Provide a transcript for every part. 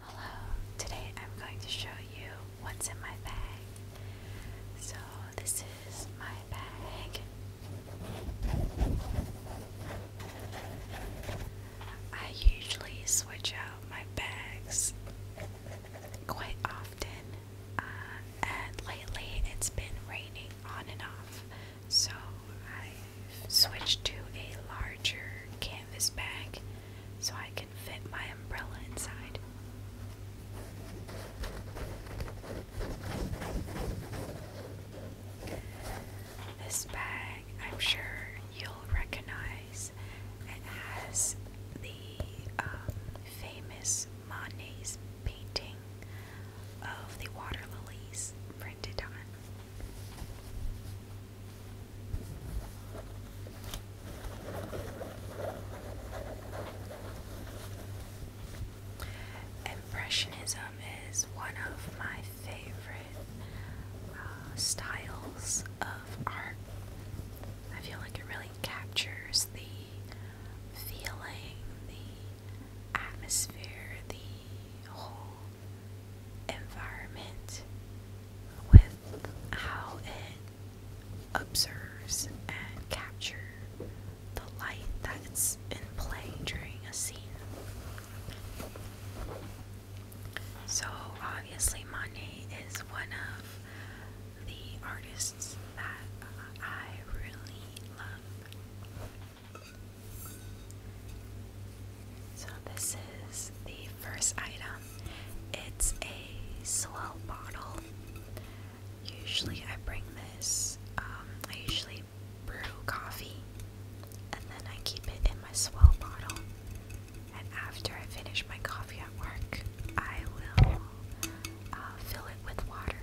Hello, today I'm going to show you what's in my bag. So, this is my bag. I usually switch out my bags quite often, uh, and lately it's been raining on and off, so I switch to a larger canvas bag so I can fit my umbrella inside. This bag, I'm sure you'll recognize, it has the um, famous Monet's painting of the water lilies printed on. Impressionism is one of my favorite uh, styles of art. I feel like it really captures the feeling, the atmosphere, the whole environment with how it observes and captures the light that's in play during a scene. So obviously Monet is one of the artists that I really love. So this is the first item. It's a swell bottle. Usually I bring this. Um, I usually brew coffee and then I keep it in my swell bottle. And after I finish my coffee at work, I will uh, fill it with water.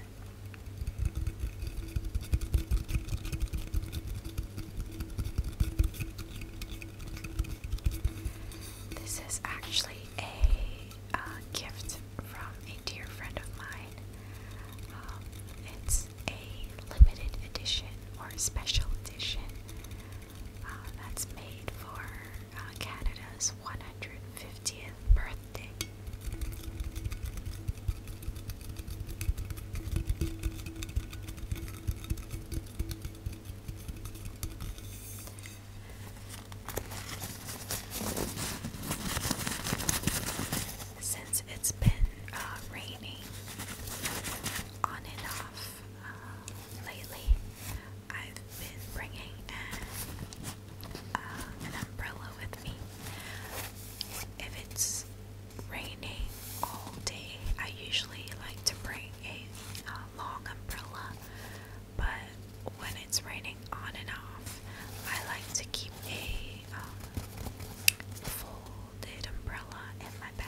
This is actually a uh, gift from a dear friend of mine. Um, it's a limited edition or special edition uh, that's made for uh, Canada's 150th birthday. Since it's been uh, raining on and off uh, lately, I've been bringing uh, an umbrella with me. If it's Rainy all day. I usually like to bring a, long umbrella, but when it's raining on and off, I like to keep a um, folded umbrella in my bag.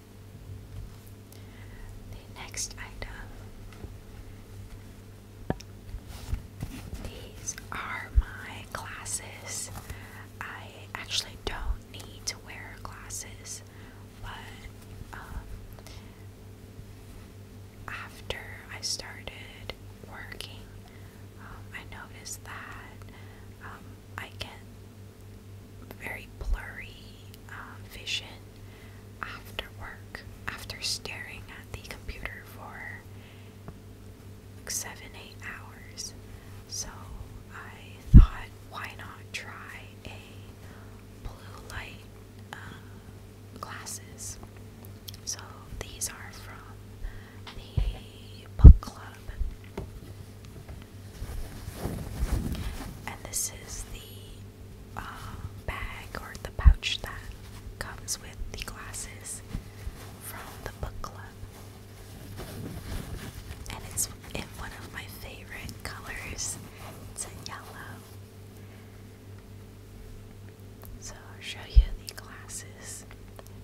The next item. These are my glasses. I actually don't need to wear glasses, but um, after I started working, um, I noticed that um, I get very blurry uh, vision after work, after staring at the computer for seven, eight hours. So I thought, why not try a blue light uh, glasses? So these are from the book club. And this is the uh, bag or the pouch that comes with the glasses from the book club. And it's in one of my favorite colors. It's in yellow. So I'll show you the glasses.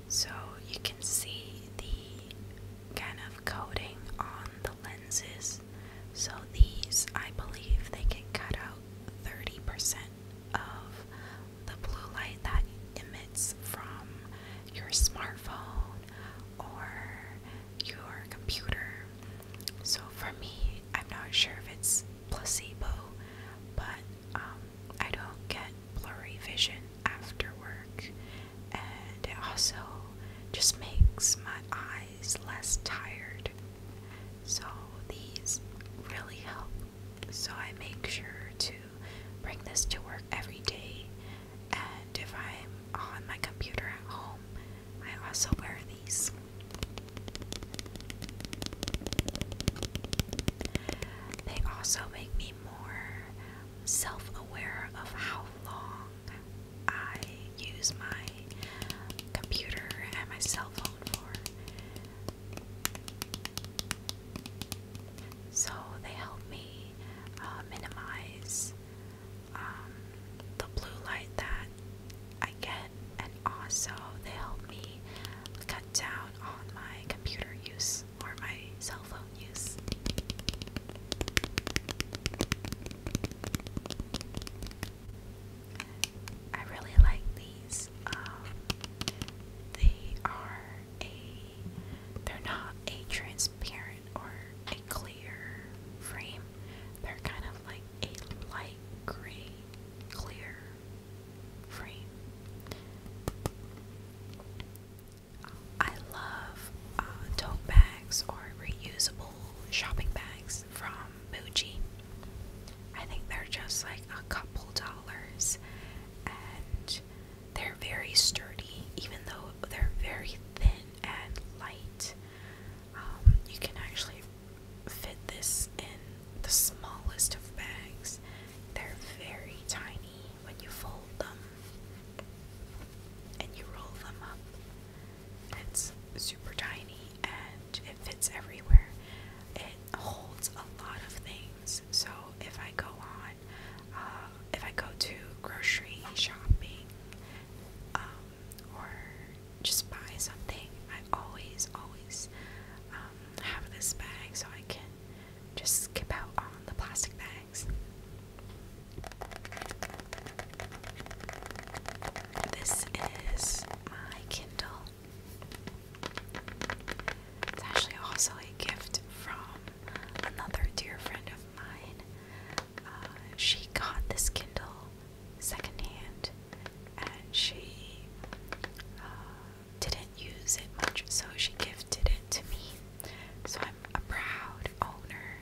So you can see the kind of coating on the lenses so these, I believe, they can cut out 30% of the blue light that emits from your smartphone or your computer. So for me, I'm not sure if it's placebo, but um, I don't get blurry vision after work and it also just makes my eyes less tired. So these really help. So I make sure to bring this to work every day, and if I'm on my computer at home, I also wear these. They also make me more self aware of how long I use my computer and my cell phone for. So they help me uh, minimize um, the blue light that I get, and also they help me cut down on my computer use or my cell phone use. I really like these. Um, they are a, they're not a transparent or a clear frame. They're kind of like a light gray, clear frame. I love uh, tote bags or reusable shopping bags from Muji. I think they're just like a couple dollars and they're very sturdy, even though they're very thin and light. Um, you can actually fit this in the smallest of bags, they're very tiny when you fold them and you roll them up. It's super tiny and it fits everywhere. It holds a lot of things. So if I go on, uh, if I go to grocery shopping um, or just buy something, I always, always um, have this bag so I can just skip out on the plastic bag this is my Kindle. It's actually also a gift from another dear friend of mine. Uh, she got this Kindle secondhand, and she uh, didn't use it much, so she gifted it to me. So I'm a proud owner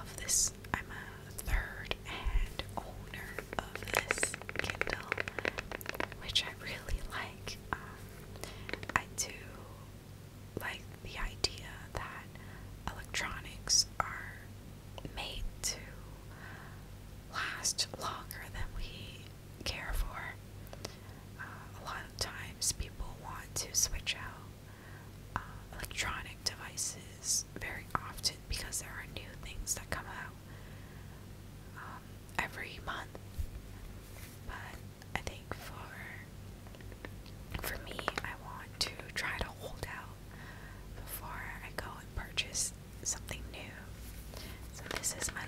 of this. I'm a third hand owner of this Kindle, which I really like. Um, I do like the idea that electronics are made to last longer than we care for. Uh, a lot of times people want to switch out uh, electronic devices very often because there are new things that come out um, every month. But I think for for me, I want to try to hold out before I go and purchase something new. So this is my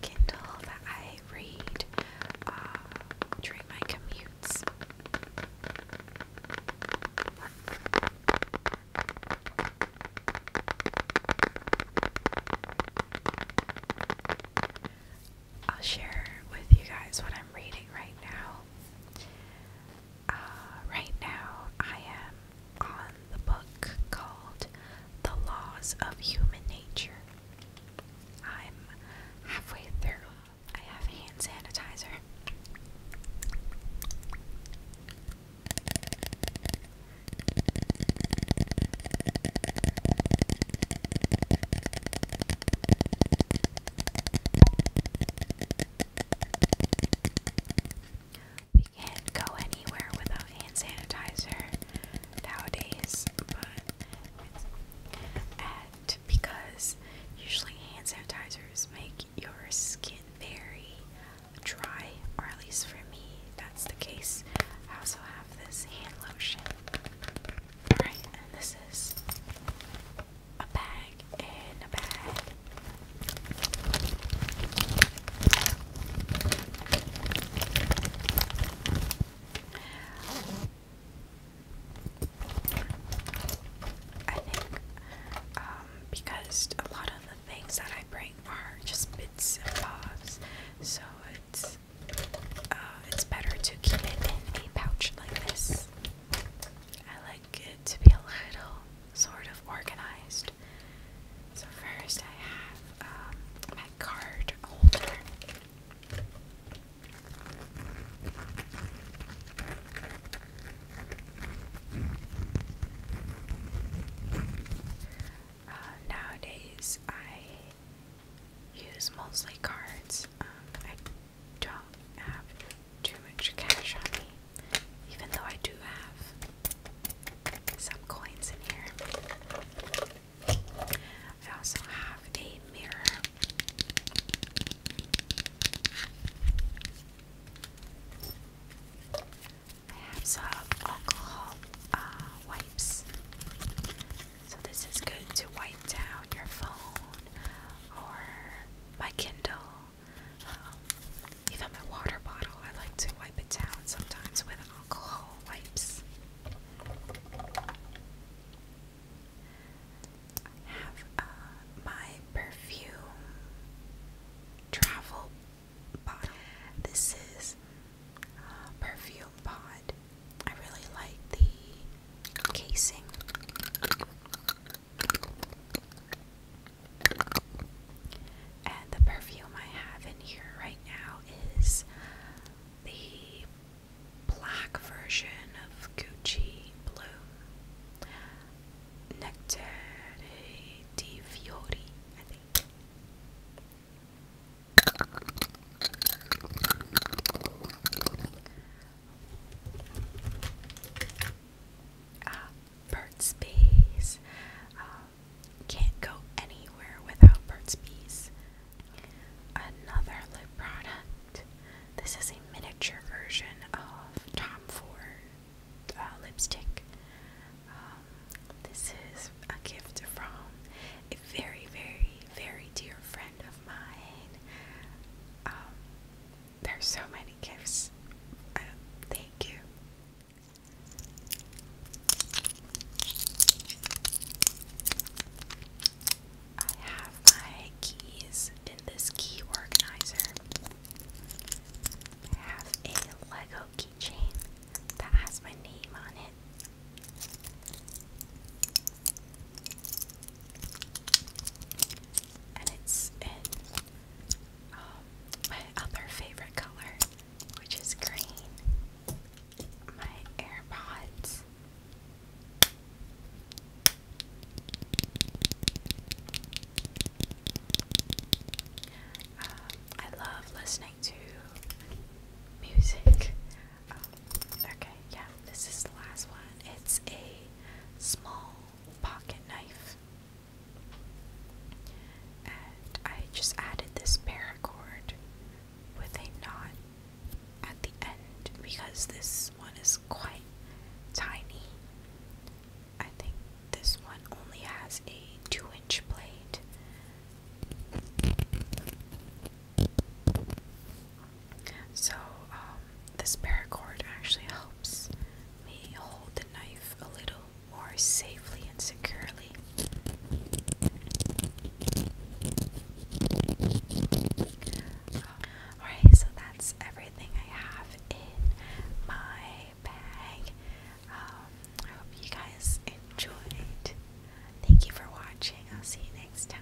Kindle that I read uh, during my commutes. I'll share with you guys what I'm reading right now. Uh, right now, I am on the book called the laws of human nature. I'm halfway through. I have hand sanitizer. We can't go anywhere without hand sanitizer nowadays, but because usually hand sanitizers make your skin very dry, or at least for me, that's the case. I also have this hand lotion. Alright, and this is a bag in a bag. I think um, because a lot of the things that I bring are just bits and bobs, so it's uh, it's better to keep it in a pouch like this. I like it to be a little sort of organized. So first I have um, my card holder. Uh, nowadays, I use mostly cards. Um, I don't have too much cash on me even though I do have some coins in here. I also have a mirror. I have some alcohol uh, wipes. So, this is good to wipe down your phone or my Kindle um, even my water bottle, I like to wipe it down sometimes with alcohol wipes. I have uh, my perfume travel bottle. This is uh, perfume pod. I really like the casing. And the perfume I have in here right now is the black version of Gucci Blue Nectar di Fiori, I think. Ah, Burt's um, Bees. can't go anywhere without Burt's Bees. Another lip product. This is a miniature version of Tom Ford uh, lipstick. Um, this is a gift from a very, very, very dear friend of mine. Um, there's so many gifts. thank you. I have my keys in this key organizer. I have a Lego keychain that has my name on it. And it's in my um, other favorite color, which is green. My AirPods. Um, I love listening to music. Um, okay, yeah, this is the last one. It's a small pocket knife. And I just added this paracord with a knot at the end because this one is quite tiny. I think this one only has a two inch blade. So, um, this paracord actually helps me hold the knife a little more safely and securely. Alright, so that's everything I have in my bag. Um, I hope you guys enjoyed. Thank you for watching. I'll see you next time.